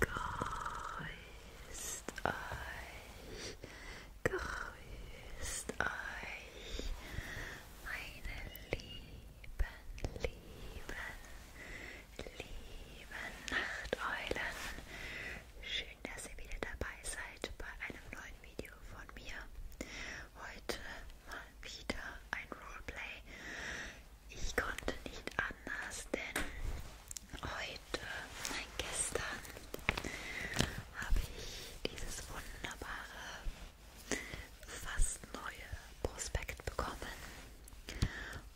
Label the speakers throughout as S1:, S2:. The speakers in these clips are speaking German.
S1: Grüßt euch, grüßt euch, meine lieben, lieben, lieben Nachteulen. Schön, dass ihr wieder dabei seid bei einem neuen Video von mir. Heute mal wieder ein Roleplay. Ich konnte nicht anders, denn heute, nein, gestern habe ich dieses wunderbare, fast neue Prospekt bekommen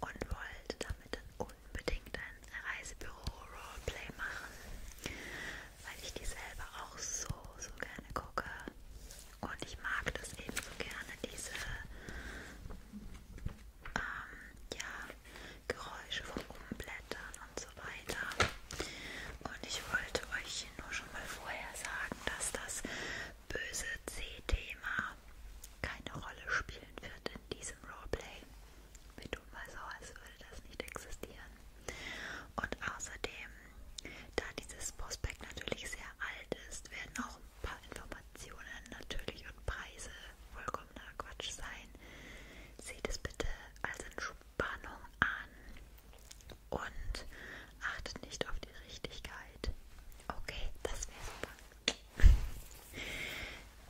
S1: und wollte damit dann unbedingt ein Reisebüro-Roleplay machen, weil ich die selber auch so, so gerne gucke. Und ich mag das eben so gerne, diese ähm, ja, Geräusche von Umblättern und so weiter. Und ich wollte euch nur schon mal vorher sagen, dass das böse C-Thema keine Rolle spielen wird in diesem Roleplay. Wir tun mal so, als würde das nicht existieren. Und außerdem, da dieses Prospekt natürlich sehr alt ist, werden auch ein paar Informationen Informationen natürlich und Preise vollkommener Quatsch sein. Seht es bitte als Entspannung an und achtet nicht auf die Richtigkeit. Okay, das wäre super.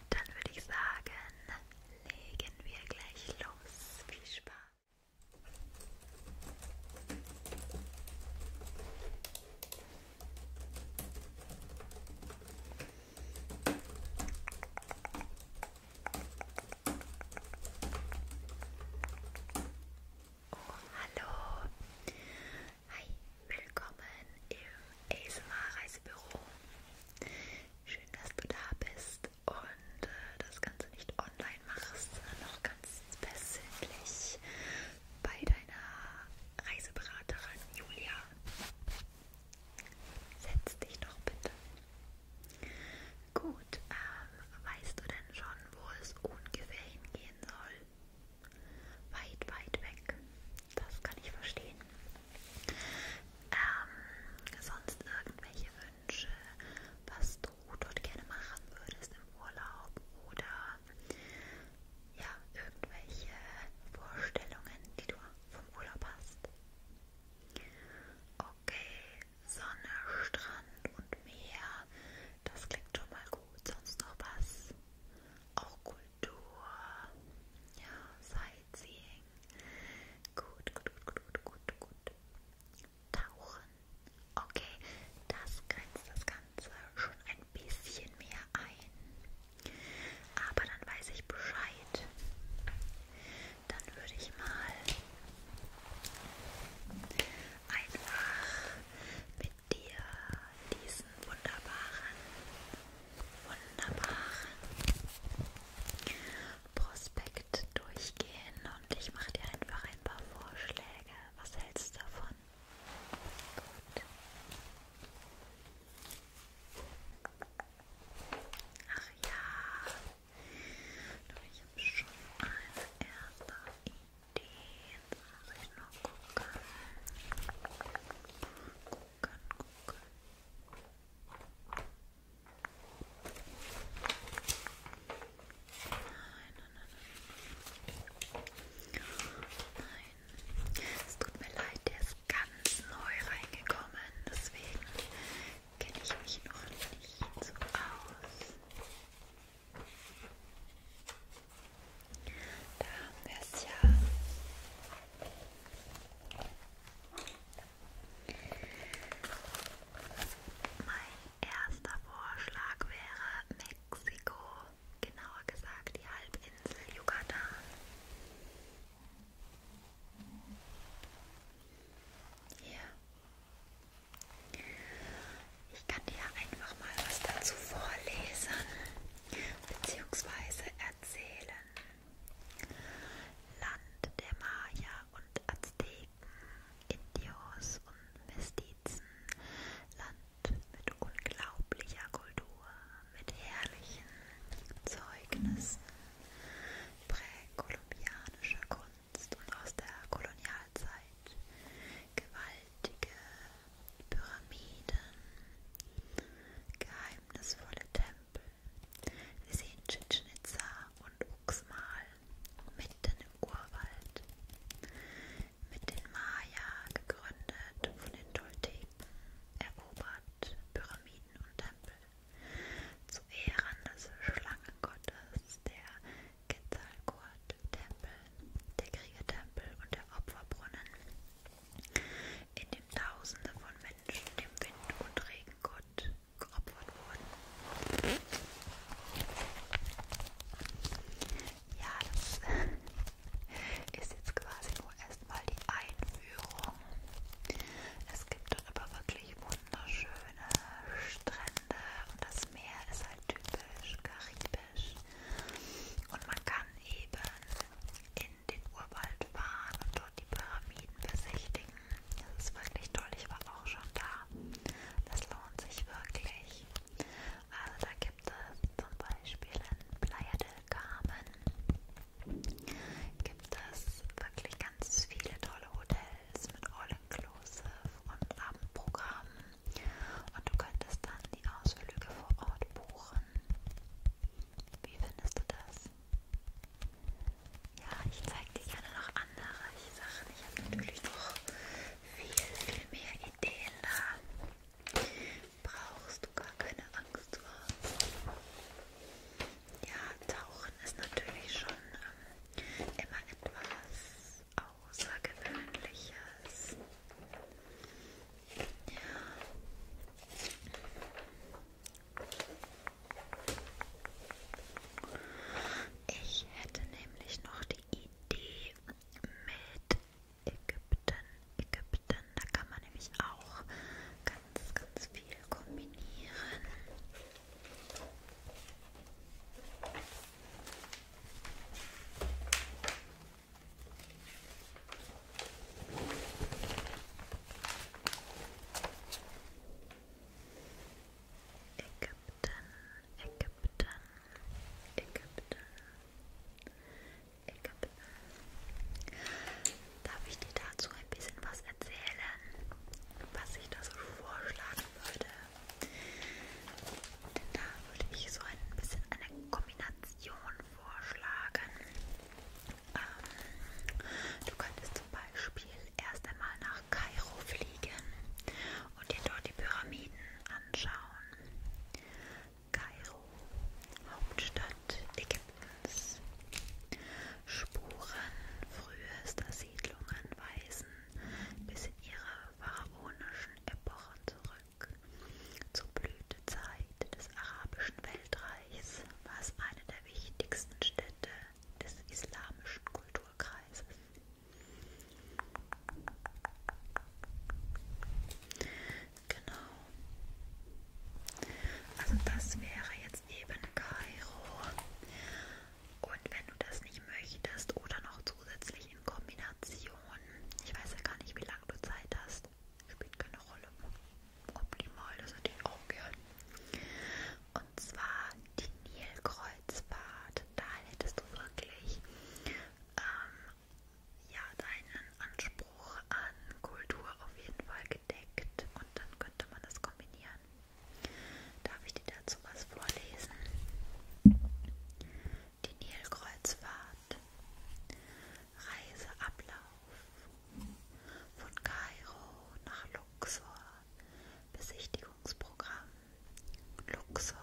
S1: Dann würde ich sagen, legen wir gleich los. Viel Spaß! Oh, hallo. Hi, willkommen im ASMR Reisebüro. Schön, dass du da bist und äh, das Ganze nicht online machst, sondern noch ganz persönlich bei deiner Reiseberaterin Julia. Setz dich doch bitte. Gut, ähm, weißt du denn schon, wo es ungefähr hingehen soll? Weit, weit weg. Das kann ich verstehen. Ähm, sonst irgendwelche Wünsche, was du dort gerne machen würdest im Urlaub oder haben, ja, irgendwelche Vorstellungen, die du vom Urlaub hast? Okay, Sonne, Strand und Meer, das klingt schon mal gut. Sonst noch was? Auch Kultur, ja, Sightseeing. Gut, gut, gut, gut, gut, gut. Tauchen. Okay, das grenzt das Ganze schon ein bisschen mehr ein. Aber dann weiß ich Bescheid. Dann würde ich mal einfach mit dir diesen wunderbaren, wunderbaren Prospekt durchgehen und ich mache dir einfach ein paar Vorschläge. Was hältst du davon? Gut. Ach ja, Doch, ich habe schon eine erste Idee. Jetzt muss ich noch gucken. Gucken, gucken. Nein, nein, nein, nein. Nein, es tut mir leid, der ist ganz neu reingekommen, deswegen kenne ich mich noch nicht so aus. Da haben wir es ja. Mein erster Vorschlag wäre Mexiko genauer gesagt die Halbinsel Yukatan. Hier. Ich kann dir einfach mal was dazu vorlesen bzw. erzählen. Land der Maya und Azteken, Indios und Mestizen, Land mit unglaublicher Kultur, mit herrlichen Zeugnissen präkolumbianischer Kunst und aus der Kolonialzeit, gewaltige Pyramiden, geheimnisvolle Tempel. Wir sehen Chichen Itza und Uxmal mitten im Urwald mit den Maya gegründet, von den Tolteken erobert, Pyramiden und Tempel zu Ehren des Schlangengottes, der Quetzalcoatl-Tempel, der Kriegertempel und der Opferbrunnen, in dem Tausende von Menschen dem Wind- und Regengott geopfert wurden. Ja, das ist jetzt quasi nur erstmal die Einführung. Es gibt dort aber wirklich wunderschöne Strände und das Meer ist halt typisch karibisch. Und man kann eben in den Urwald fahren und dort die Pyramiden besichtigen. Das ist wirklich toll. Ich war auch schon da. Das lohnt sich wirklich. Also da gibt gibt es zum Beispiel in Playa del Carmen gibt es wirklich ganz viele tolle Hotels mit All-Inclusive und Abendprogramm und du könntest dann die Ausflüge vor Ort buchen. Wie findest du das? Ja, ich zeige dir gerne noch andere Sachen. Ich habe natürlich noch viel, viel mehr Ideen da brauchst du gar keine Angst vor. Ja, Tauchen ist natürlich schon ähm, immer etwas Außergewöhnliches. Ja. Ich hätte nämlich noch die Idee mit Ägypten, Ägypten, da kann man nämlich auch ganz, ganz viel kombinieren. Ägypten, Ägypten, Ägypten, Ecke. Darf ich dir dazu ein bisschen was erzählen, was ich da so vorschlagen würde? Denn da würde ich so ein bisschen eine Kombination vorschlagen. Ähm, du könntest zum Beispiel erst einmal nach Kairo fliegen und dir dort die Pyramiden anschauen. Kairo, Hauptstadt Ägyptens. Spuren frühester Siedlungen weisen bis in ihre pharaonischen Epochen zurück. Zur Blütezeit des arabischen Weltreichs war es eine der wichtigsten Städte des islamischen Kulturkreises. Genau. Also das wäre jetzt eben Kairo. Und wenn du das nicht möchtest oder noch zusätzlich in Kombination, ich weiß ja gar nicht, wie lange du Zeit hast, spielt keine Rolle. Optimal, das hätte ich auch gern. Und zwar die Nilkreuzfahrt. Da hättest du wirklich ähm, ja, deinen Anspruch an Kultur auf jeden Fall gedeckt und dann könnte man das kombinieren. Darf ich dir dazu was vorlesen? Die Nilkreuzfahrt, Reiseablauf von Kairo nach Luxor, Besichtigungsprogramm, Luxor,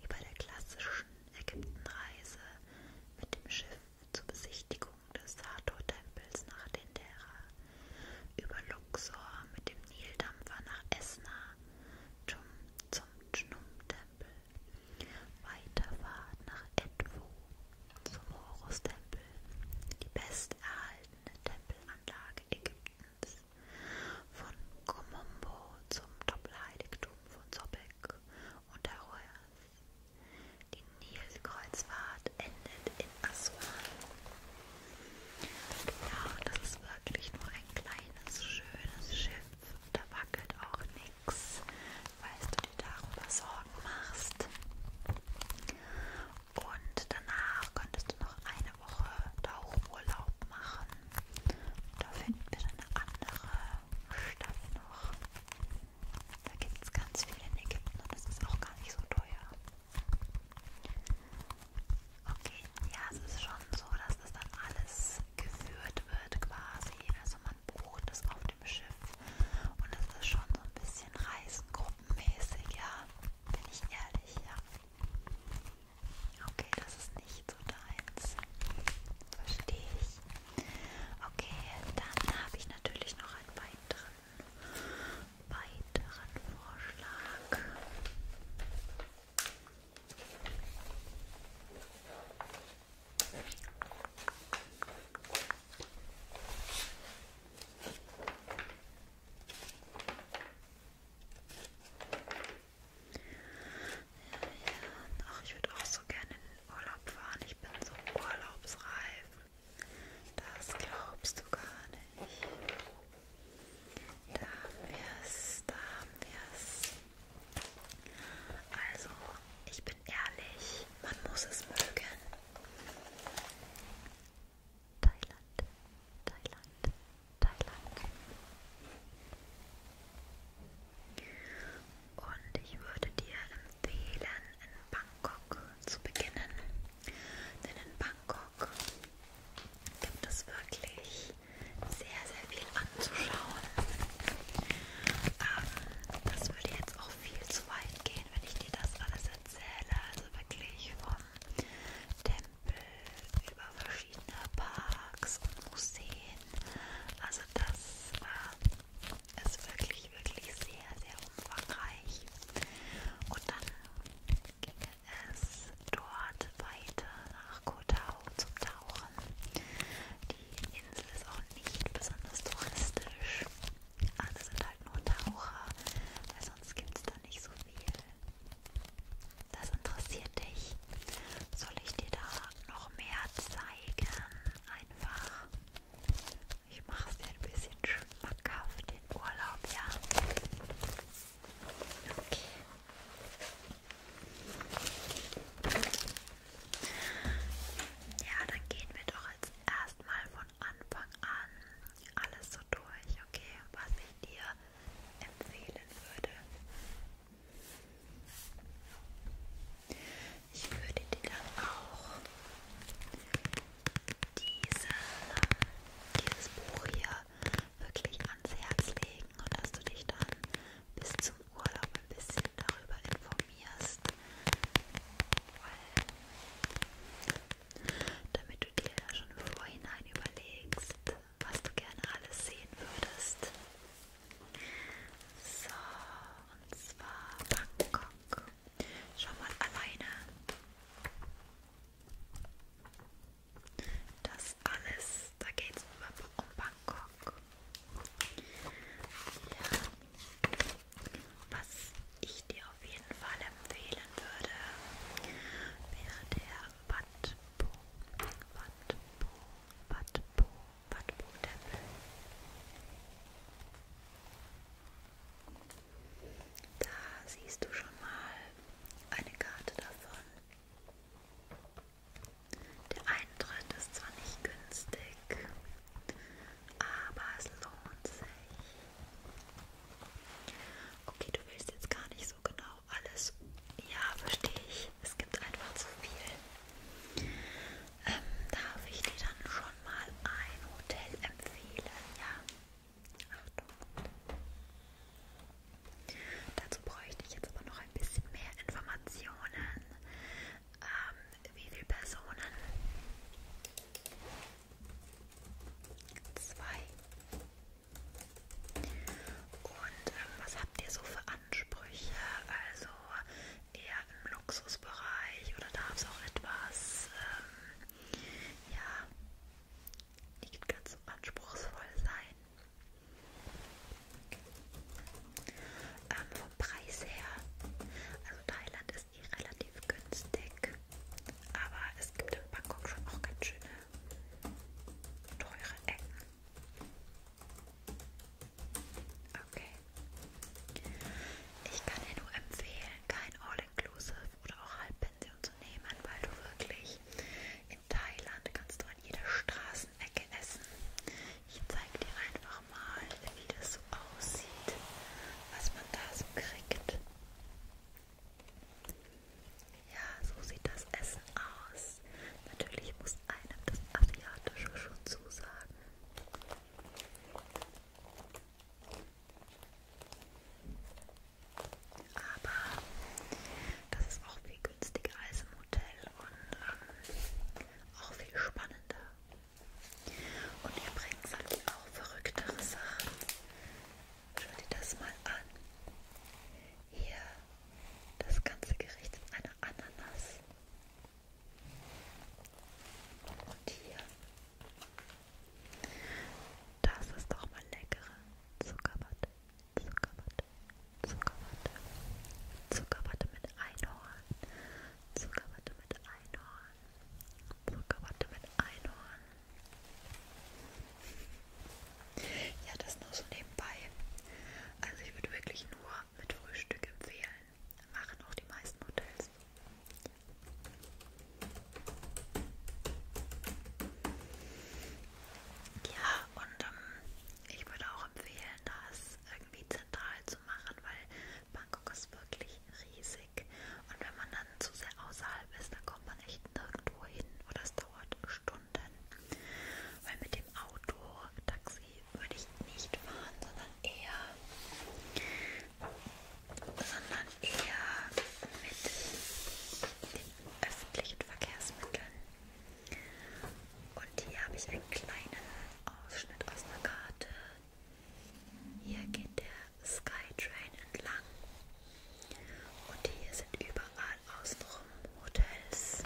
S1: wie bei der klassischen Ägyptenreise mit dem Schiff zur Besichtigung des Hathor-Tempels nach Dendera, über Luxor mit dem Nildampfer nach Esna zum, zum Dschnum-Tempel, Weiterfahrt nach Edfu zum Horus-Tempel, die besterhaltene Tempelanlage Ägyptens, von Komombo zum Doppelheiligtum von Sobek Hamburg und Aroas. Die Nilkreuzfahrt endet in Aswan. Ja, genau, und das ist wirklich nur ein kleines, schönes Schiff. Da wackelt auch nichts, weil du dir darüber Sorgen machst. Und danach könntest du noch eine Woche Tauchurlaub machen. Da finden wir eine andere Stadt noch. Da gibt es ganz viel in Ägypten und das ist auch gar nicht so teuer. Okay, ja, es ist schon so, dass das dann alles geführt wird quasi. Also man bucht es auf dem Schiff und es ist schon so ein bisschen reisengruppenmäßig, ja. Bin ich ehrlich, ja. Okay, das ist nicht so deins. Verstehe ich. Okay, dann habe ich natürlich noch einen weiteren, weiteren Vorschlag. Ach, ich würde auch so gerne in den Urlaub fahren. Ich bin so urlaubsreif. Das glaubst du gar nicht. Da haben wir es, da haben wir es. Also, ich bin ehrlich, man muss es mögen. Thailand, Thailand, Thailand. Und ich würde dir empfehlen, in Bangkok zu beginnen. Denn in Bangkok gibt es wirklich sehr, sehr viel anzuschauen. Ähm, das würde jetzt auch viel zu weit gehen, wenn ich dir das alles erzähle. Also wirklich vom Tempel über verschiedene Parks und Museen. Also das äh, ist wirklich, wirklich sehr, sehr umfangreich. Und dann ging es dort weiter nach Kotau zum Tauchen. Die Insel ist auch nicht besonders touristisch. Alle sind halt nur Taucher, weil sonst gibt es da nicht so viel. Das interessiert dich. Soll ich dir da noch mehr zeigen? einfach. Ich mache es dir ein bisschen schmackhaft den Urlaub, ja. Okay. Ja, dann gehen wir doch jetzt erstmal von Anfang an alles so durch, okay, was ich dir empfehlen würde. Ich würde dir dann auch diese, dieses Buch hier wirklich ans Herz legen und dass du dich dann bis zum Urlaub ein bisschen darüber informierst, weil damit du dir schon im Vorhinein überlegst, was du gerne alles sehen würdest. So, und zwar Bangkok. Schau mal alleine. Das alles, da geht es um Bangkok. Ja. Was ich dir auf jeden Fall empfehlen würde, wäre der Wat Po. Wat Po. Wat Po. Wattboden. Da siehst du schon mal eine Karte davon. Der Eintritt ist zwar nicht günstig, aber es lohnt sich. Okay, du willst jetzt gar nicht so genau alles. Ja, verstehe ich. Es gibt einfach zu viel. Ähm, darf ich dir dann schon mal ein Hotel empfehlen? Ja. Achtung. Dazu bräuchte ich jetzt aber noch ein bisschen mehr Informationen. Ähm, wie viele Personen? Zwei. Und ähm, was habt ihr so für Anforderungen? Ansprüche, also eher im Luxusbereich oder darf es auch etwas, ähm, ja, nicht ganz so anspruchsvoll sein. Ähm, vom Preis her, also Thailand ist eh relativ günstig, aber es gibt in Bangkok schon auch ganz schöne teure Ecken. Okay. Ich kann dir nur empfehlen, kein All-Inclusive oder auch Halbpension zu nehmen, weil du wirklich in Thailand kannst du an jeder Straßenecke essen. Ich zeige dir einfach mal, wie das so aussieht, was man da so kriegt. Ja, so sieht das Essen aus. Natürlich muss einem das Asiatische schon zusagen. Aber das ist auch viel günstiger als im Hotel und ähm, auch viel spannender. Und übrigens habe ich auch verrücktere Sachen. Schau dir das mal an. Hier das ganze Gericht in einer Ananas. Und hier. Das ist doch mal leckere Zuckerwatte, Zuckerwatte, Zuckerwatte, Zuckerwatte mit Einhorn, Zuckerwatte mit Einhorn, Zuckerwatte mit Einhorn. Ja, das nur so nebenbei. Also ich würde wirklich nur mit Frühstück empfehlen machen auch die meisten Hotels. Ja, und ähm, ich würde auch empfehlen, das irgendwie zentral zu machen, weil Bangkok ist wirklich riesig. Und wenn man dann zu sehr außerhalb ist, dann kommt man echt nirgendwo hin oder es dauert Stunden. Weil mit dem Auto, Taxi Taxi würde ich nicht fahren, sondern eher, sondern eher mit den öffentlichen Verkehrsmitteln. Und hier habe ich einen kleinen Ausschnitt aus einer Karte. Hier geht der Skytrain entlang. Und hier sind überall außenrum Hotels.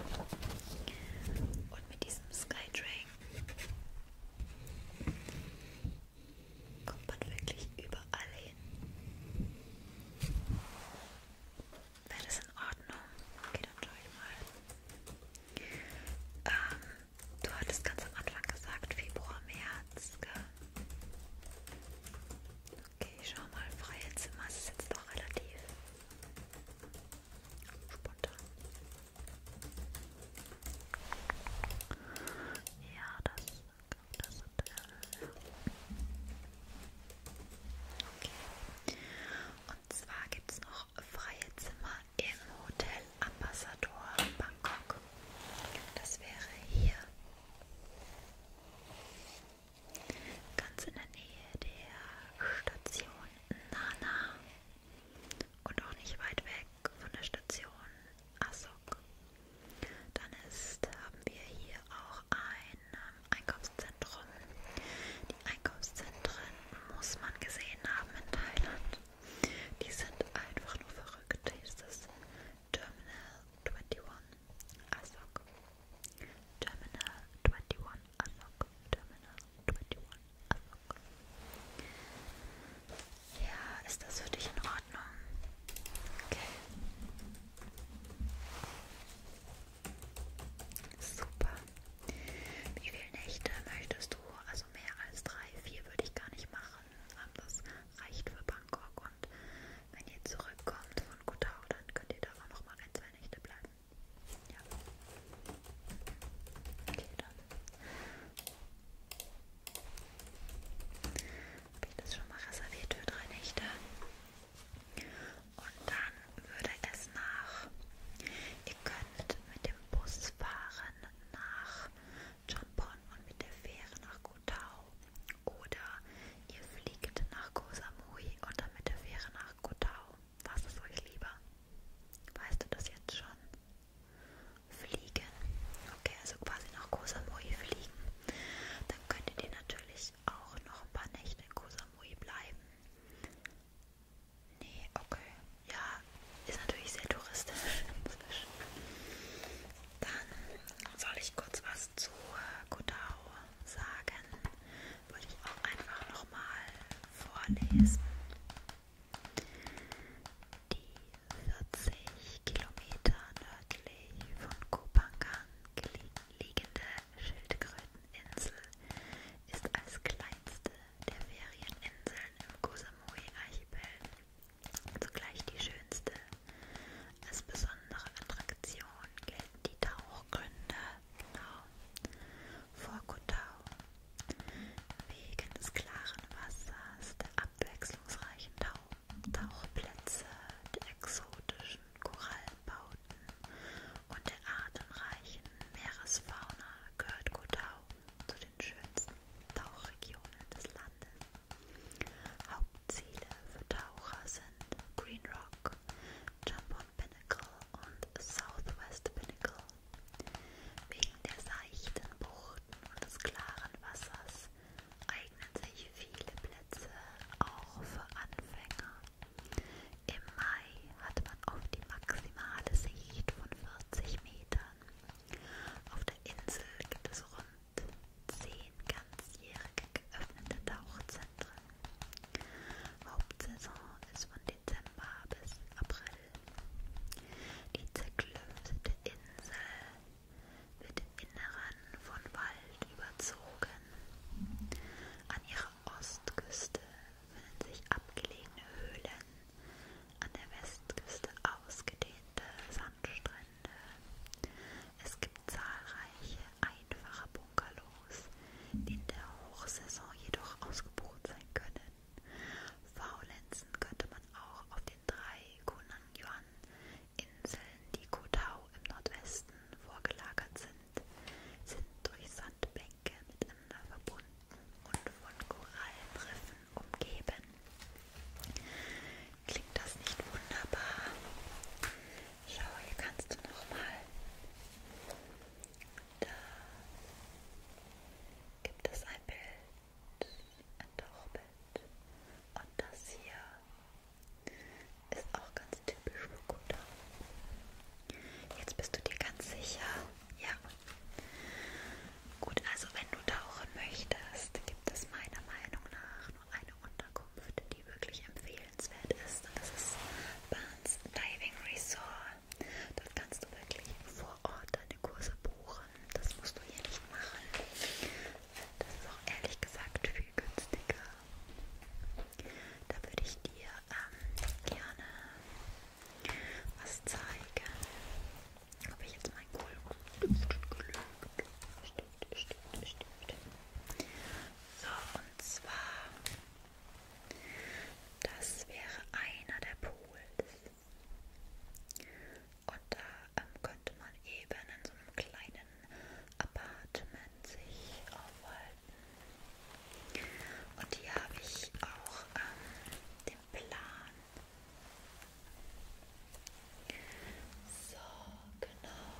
S1: Und mit diesem Skytrain Kommt man wirklich überall hin? Wäre das in Ordnung? Okay, dann schaue ich mal. Ähm, du hattest ganz am Anfang gesagt, Februar, März, gell? Okay, ich schau mal, freie Zimmer, das ist jetzt doch relativ Spontan. Ja, das, das hat er. Okay. Und zwar gibt es noch freie Zimmer im Hotel Ambassador Bangkok. Das wäre hier. Ganz in der Nähe der Station Nana und auch nicht weit weg von der Station Asok. Dann ist, haben wir hier auch ein ähm, Einkaufszentrum. Die Einkaufszentren muss man gesehen haben in Thailand. Die sind einfach nur verrückt. Hier ist das Terminal 21 Asok. Terminal 21 Asok. Terminal 21 ja, ist das für dich in Ordnung? Okay. Super. Wie viele Nächte möchtest du? Also mehr als drei, vier würde ich gar nicht machen. Ähm, das reicht für Bangkok und wenn ihr zurückkommt von Kutau, dann könnt ihr da auch nochmal ein, zwei Nächte bleiben. Ja. Okay, dann habe ich das schon mal reserviert für drei Nächte. Und dann würde es nach. Ihr könnt mit dem Bus fahren nach Champon und mit der Fähre nach Kotau. Oder ihr fliegt nach Koh Samui und dann mit der Fähre nach Kotau. Was ist euch lieber? Weißt du das jetzt schon? Fliegen. Okay, also quasi nach Koh Samui fliegen. Dann könntet ihr natürlich auch noch ein paar Nächte in Koh Samui bleiben. Nee, okay. Ja, ist natürlich sehr touristisch inzwischen. Dann soll ich kurz was zu äh, Kodao sagen. Würde ich auch einfach nochmal vorlesen. Die 40 Kilometer nördlich von Kopangan liegende Schildkröteninsel ist als kleinste der Ferieninseln im Kosamui-Archipel zugleich die schönste. Als besondere Attraktion gelten die Tauchgründe genau. Vor Kotau. Wegen des klaren Wassers, der abwechslungsreichen Tau Tauchplätze, der exotischen Korallenbauten und der artenreichen Meeresfauna gehört Kotau zu den schönsten Tauchregionen des Landes. Hauptziele für Taucher sind Green Rock, Jumbo Pinnacle und Southwest Pinnacle. Wegen der seichten Buchten und des klaren Wassers eignen sich viele Plätze auch für Anfänger. Im Mai hat man oft die maximale Sicht von 40 Metern. Auf der Insel gibt es rund 10 ganzjährig geöffnete Tauchzentren. Hauptsaison ist von Dezember bis April. Die zerklüftete Insel wird im Inneren von Wald überzogen. An ihrer Ostküste finden sich abgelegene Höhlen, an der Westküste ausgedehnte Sandstrände. Es gibt zahlreiche einfache Bungalows, die in der Hochsaison jedoch ausgebucht sein können. Faulenzen könnte man auch auf den drei Konan-Yuan-Inseln, die Kotau im Nordwesten vorgelagert sind, sind durch Sandbänke miteinander verbunden und von Korallenriffen umgeben. Klingt das nicht wunderbar? Schau, hier kannst du nochmal da gibt es ein Bild, ein Tauchbild und das hier ist auch ganz typisch für Kuda. Jetzt bist du dir ganz sicher? Ja. Gut, also wenn du tauchen möchtest, gibt es meiner Meinung nach nur eine Unterkunft, die wirklich empfehlenswert ist. Und das ist Barnes Diving Resort. Dort kannst du wirklich vor Ort deine Kurse buchen. Das musst du hier nicht machen. Das ist auch ehrlich gesagt viel günstiger. Da würde ich dir ähm, gerne was zeigen. Ob ich jetzt mein Kohl. Stimmt, stimmt, stimmt. So, und zwar das wäre einer der Pools. Und da ähm, könnte man eben in so einem kleinen Apartment sich aufhalten. Und hier habe ich auch ähm, den Plan. So, genau.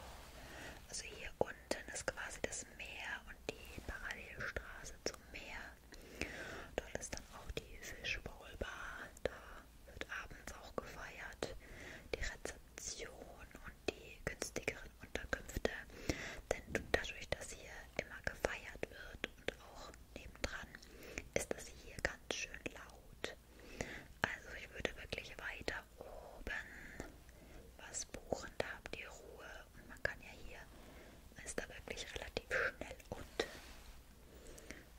S1: Also hier unten ist quasi das Meer und die Parallelstraße zum Meer. Dort ist dann auch die Fishbowl Bar. Da wird abends auch gefeiert. Die Rezeption und die günstigeren Unterkünfte. Denn dadurch, dass hier immer gefeiert wird und auch nebendran, ist das hier ganz schön laut. Also ich würde wirklich weiter oben was buchen. Da habt ihr Ruhe und man kann ja hier, man ist da wirklich relativ schnell unten.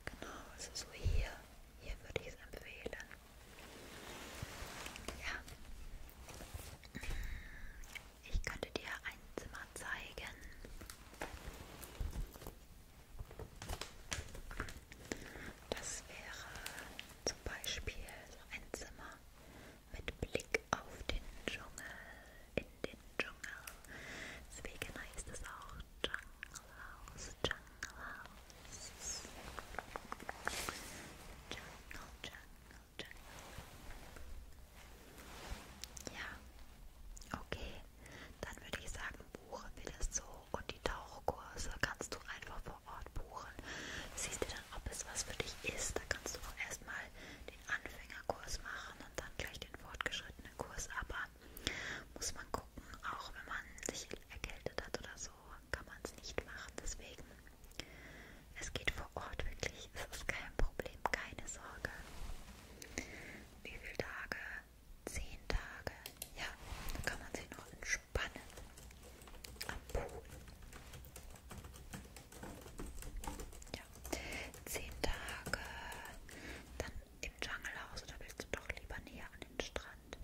S1: Genau, also so hier, hier würde ich es empfehlen. Ja. Ich könnte dir ein Zimmer zeigen. Das wäre zum Beispiel so ein Zimmer mit Blick auf den Dschungel, in den Dschungel. Deswegen heißt es auch Jungle House, Jungle House. Jungle, Jungle, Jungle. Ja, okay. Dann würde ich sagen, buchen wir das so und die Tauchkurse kannst du einfach vor Ort buchen. Siehst du dann, ob es was für dich ist. Da kannst du auch erstmal den Anfängerkurs machen und dann gleich den fortgeschrittenen Kurs, aber muss man gucken, auch wenn man sich erkältet hat oder so, kann man es nicht machen. Deswegen, es geht vor Ort wirklich, es ist kein Problem, keine Sorge. Wie viele Tage? Zehn Tage. Ja, da kann man sich noch entspannen. Am Pool. Ja. Zehn Tage dann im Jungle House oder willst du doch lieber näher an den Strand?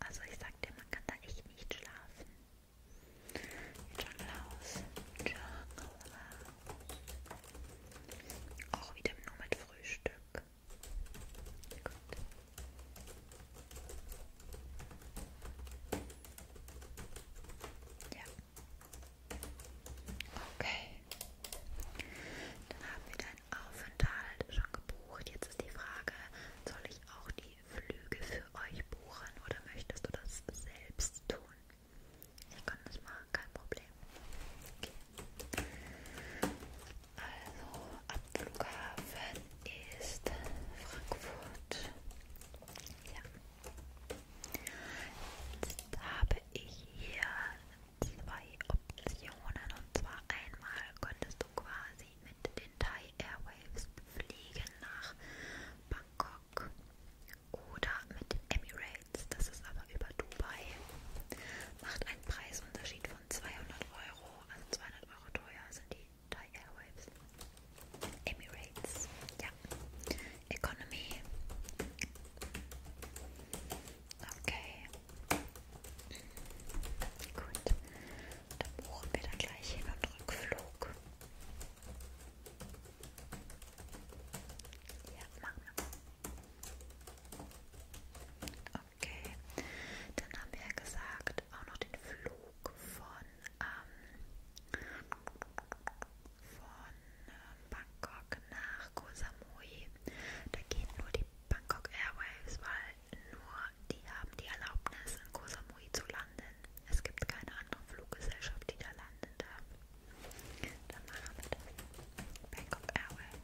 S1: Also ich sag dir, man kann da echt nicht schlafen. Jungle House. Jungle House. Auch wieder nur mit Frühstück. Gut. Ja. Okay. Dann haben wir deinen Aufenthalt schon gebucht. Jetzt ist die Frage, soll ich auch die Flüge für euch buchen oder möchtest du das selbst tun? Ich kann das machen, kein Problem. Okay. Also am Flughafen ist Frankfurt. Ja. Jetzt habe ich hier zwei Optionen und zwar einmal könntest du quasi mit den Thai Airwaves fliegen nach Bangkok oder mit den Emirates, das ist aber über Dubai, macht einen Preisunterschied von 200 Euro, also 200 Euro teuer sind die Thai Airwaves, Emirates, ja ja. Economy. Okay. Gut. Dann buchen wir da gleich hin und Rückflug. Ja, machen wir. Okay. Dann haben wir ja gesagt, auch noch den Flug von ähm, von äh, Bangkok nach Koh Samui. Da gehen nur die Bangkok Airways, weil nur die haben die Erlaubnis, in Koh Samui zu landen. Es gibt keine andere Fluggesellschaft, die da landen darf. Dann machen wir das. Bangkok Airways.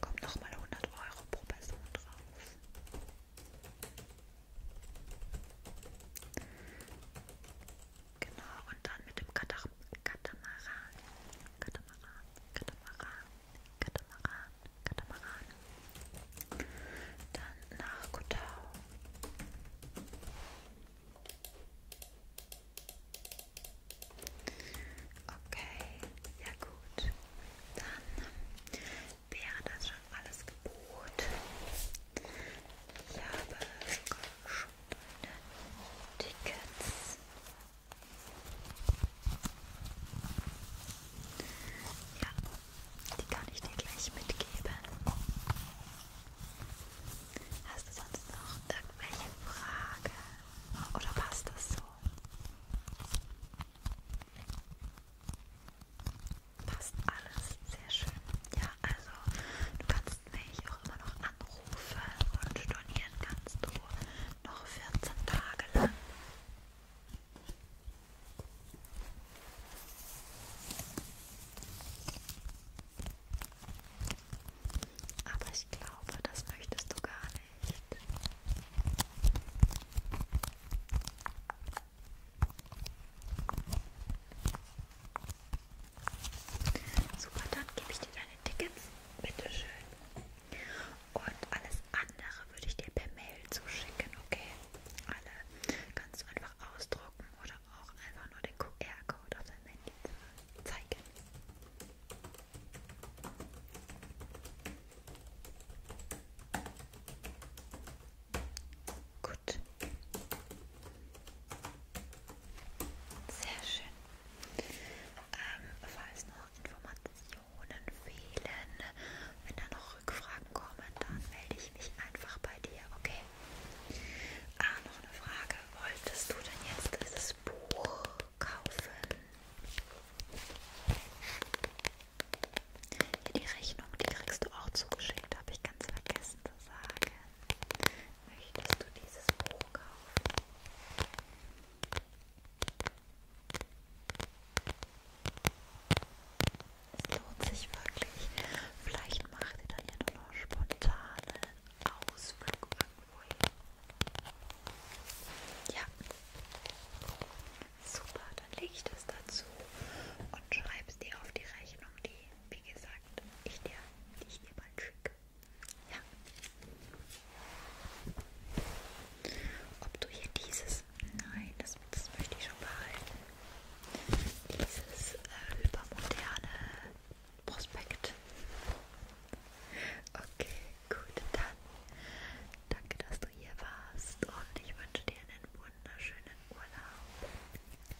S1: Kommt nochmal 100 Euro pro Person drauf. Genau, und dann mit dem Katar Katamaran. Katamaran, Katamaran, Katamaran, Katamaran. Dann nach Kotau. Okay, ja gut. Dann wäre das schon alles gebucht. Ich habe sogar schon Tickets. Ja, die kann ich dir gleich mitgeben. Hast du sonst noch irgendwelche Fragen? Oder passt das so? Passt alles sehr schön. Ja, also du kannst mich auch immer noch anrufen und stornieren kannst du noch 14 Tage lang. Aber ich glaube, das möchtest du gar nicht. Super, dann gebe ich dir deine Tickets. Bitteschön. Und alles andere würde ich dir per Mail zuschicken, okay? Alle kannst du einfach ausdrucken oder auch einfach nur den QR-Code auf deinem Handy zeigen. Gut. Sehr schön. Ähm, falls noch Informationen fehlen, wenn da noch Rückfragen kommen, dann melde ich mich einfach bei dir, okay? Ah, noch eine Frage. Wolltest du denn jetzt dieses Buch kaufen? Hier die Rechnung, die kriegst du auch zugeschickt, habe ich ganz vergessen zu sagen. Möchtest du dieses Buch kaufen? Es lohnt sich wirklich. Vielleicht macht ihr dann ja nur noch spontane Ausflug irgendwo hin. Ja. Super, dann lege ich das dazu und schreibe es dir auf die Rechnung, die, wie gesagt, Karten, ich dir, die ich dir bald schicke. Ja. Ob du hier dieses, nein, das, das möchte ich schon behalten. Dieses äh, übermoderne Prospekt. Okay, gut, dann danke, dass du hier warst und ich wünsche dir einen wunderschönen Urlaub.